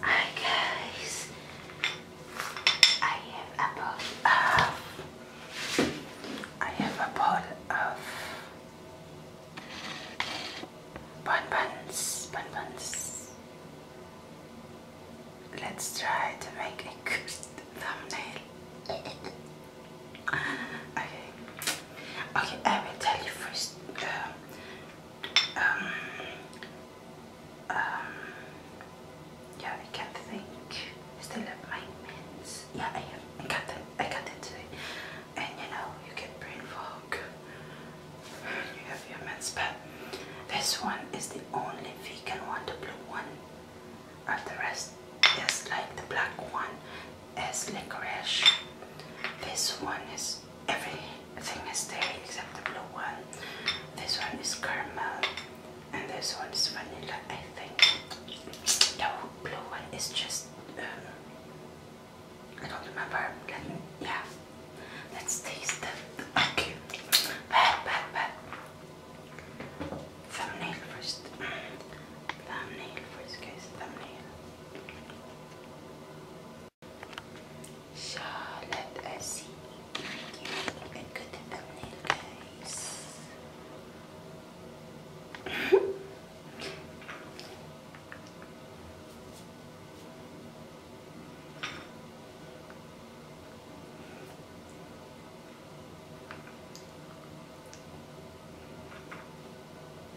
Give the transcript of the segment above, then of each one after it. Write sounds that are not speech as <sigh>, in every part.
Hi guys, I have a bottle of, I have a bottle of bonbons, bonbons. Let's try to make a good thumbnail. <laughs> okay, okay, I will tell you first. Um, um, um, yeah, I can't think. Still have my mints. Yeah, I have. I got it. I got it today. And you know, you get brain fog. You have your mints, but this one is the only vegan one, the blue one. Of the rest just like the black one is licorice. This one is every thing is there except the blue one. This one is caramel and this one is vanilla I think. The blue one is just um, I don't remember. yeah. Let's taste them. Okay. Bad, bad, bad. Thumbnail first. Mm. Thumbnail first, guys. Thumbnail. Charlotte, I see. you. And good in thumbnail, guys.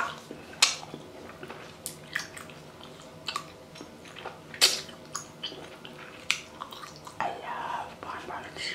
Ah. I love bonbons.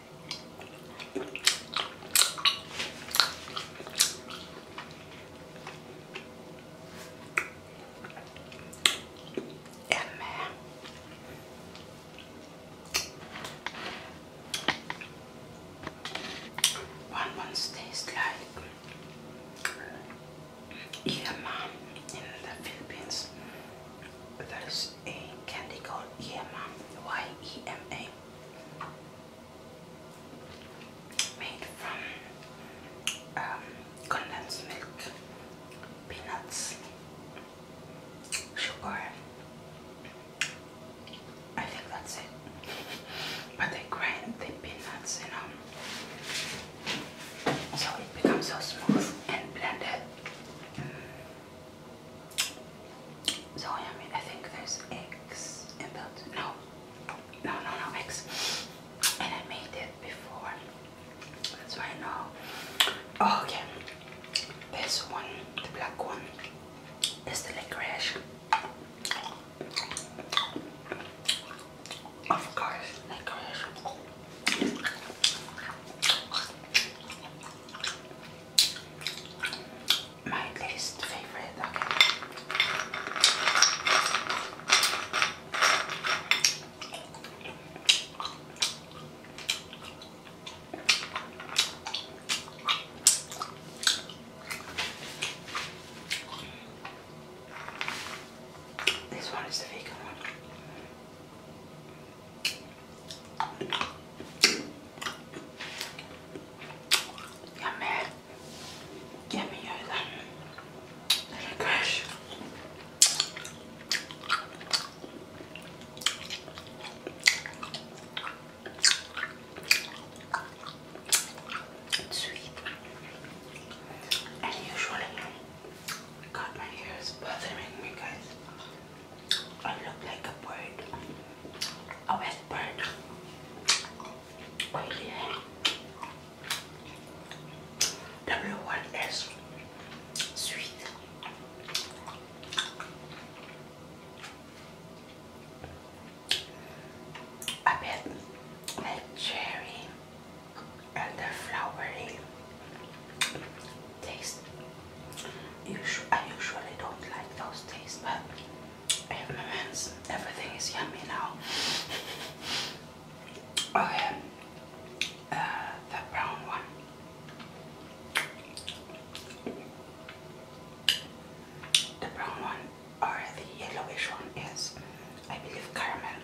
Amen. One once tastes like yeah, in the Philippines there is a candy called Yema, Y-E-M-A, made from um, condensed milk, peanuts, sugar. I think that's it. <laughs> but they grind the peanuts, you know, so it becomes so smooth and blended. Mm. So I mean, I think there's eggs in that. No, no, no, no eggs. And I made it before. That's why I know. Oh, okay, this one, the black one, is the licorice. Of course, licorice. My least favorite, okay. This one is the vegan one. Get me yummy. Little crush. It's sweet. And usually God, my hair is bothering me, guys. I look like a bird, a wet bird. Oily hair. sweet. I bet cherry and the flowery taste. Usu I usually don't like those tastes, but I have Everything is yummy now. <laughs> okay, uh, the brown one. The brown one or the yellowish one is, I believe, caramel.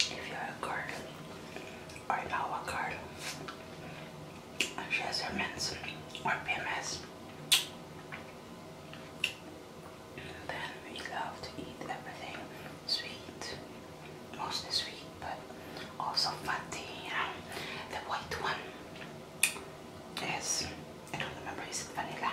If you're a girl or an avocado, she has her mens or PMS. then we love to eat everything sweet, mostly sweet, but also fatty. Um, the white one is, I don't remember, is it vanilla?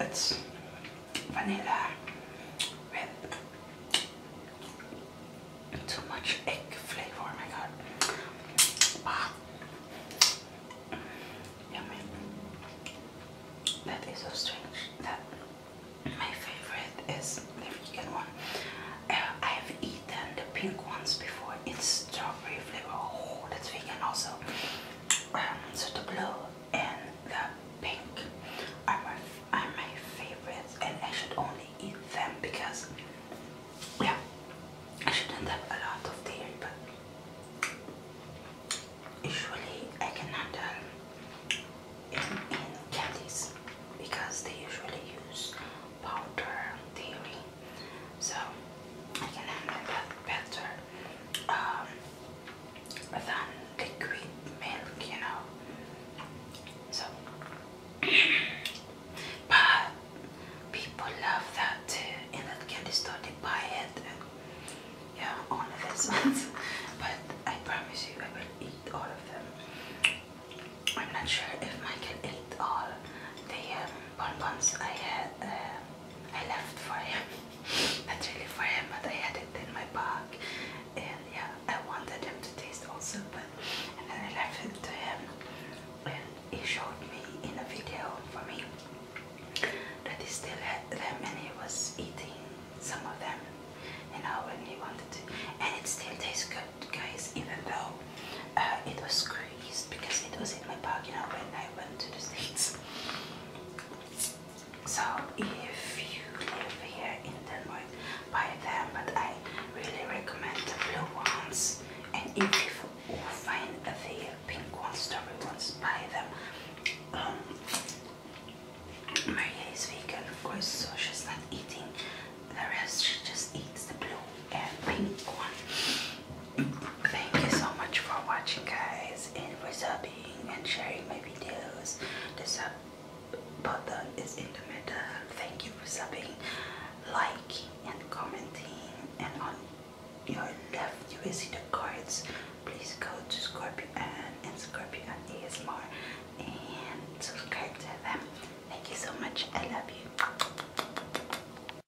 it's vanilla with too much egg flavor. Oh my god. Ah. Yummy. That is so strange that my favorite is the vegan one. Uh, I have eaten the pink ones before. It's strawberry flavor. Oh, that's vegan also. Um, so the blue and the pink are my, are my favorites and I should only eat them because yeah I shouldn't have a lot of dairy but usually I can handle in, in candies because they usually use powder dairy so I can handle that better um, than liquid milk, you know. So, but people love that in that candy store. They buy it, yeah, only this <laughs> ones. but I promise you, I will eat all of them. I'm not sure if Michael ate all the um, bonbons I had. Uh, I left for him not really for him, but I had it in my bag, and yeah, I wanted him to taste also, but and then I left it to him, and he showed me in a video for me that he still had them, and he was eating some of them, you know, when he wanted to, and it still tastes good, guys, even though uh, it was screwed because it was in my bag, you when I went to the States. So if you live here in Denmark, buy them, but I really recommend the blue ones. And if you find the pink ones, the red ones, buy them. Um, Maria is vegan, of course, so she's not eating the rest. She just eats the blue and pink one. Thank you so much for watching, guys, and for subbing and sharing my videos. The sub button is in the middle. Thank you for subbing, liking, and commenting. And on your left, you will see the cards. Please go to Scorpio and Scorpio Scorpion ASMR and subscribe to them. Thank you so much. I love you.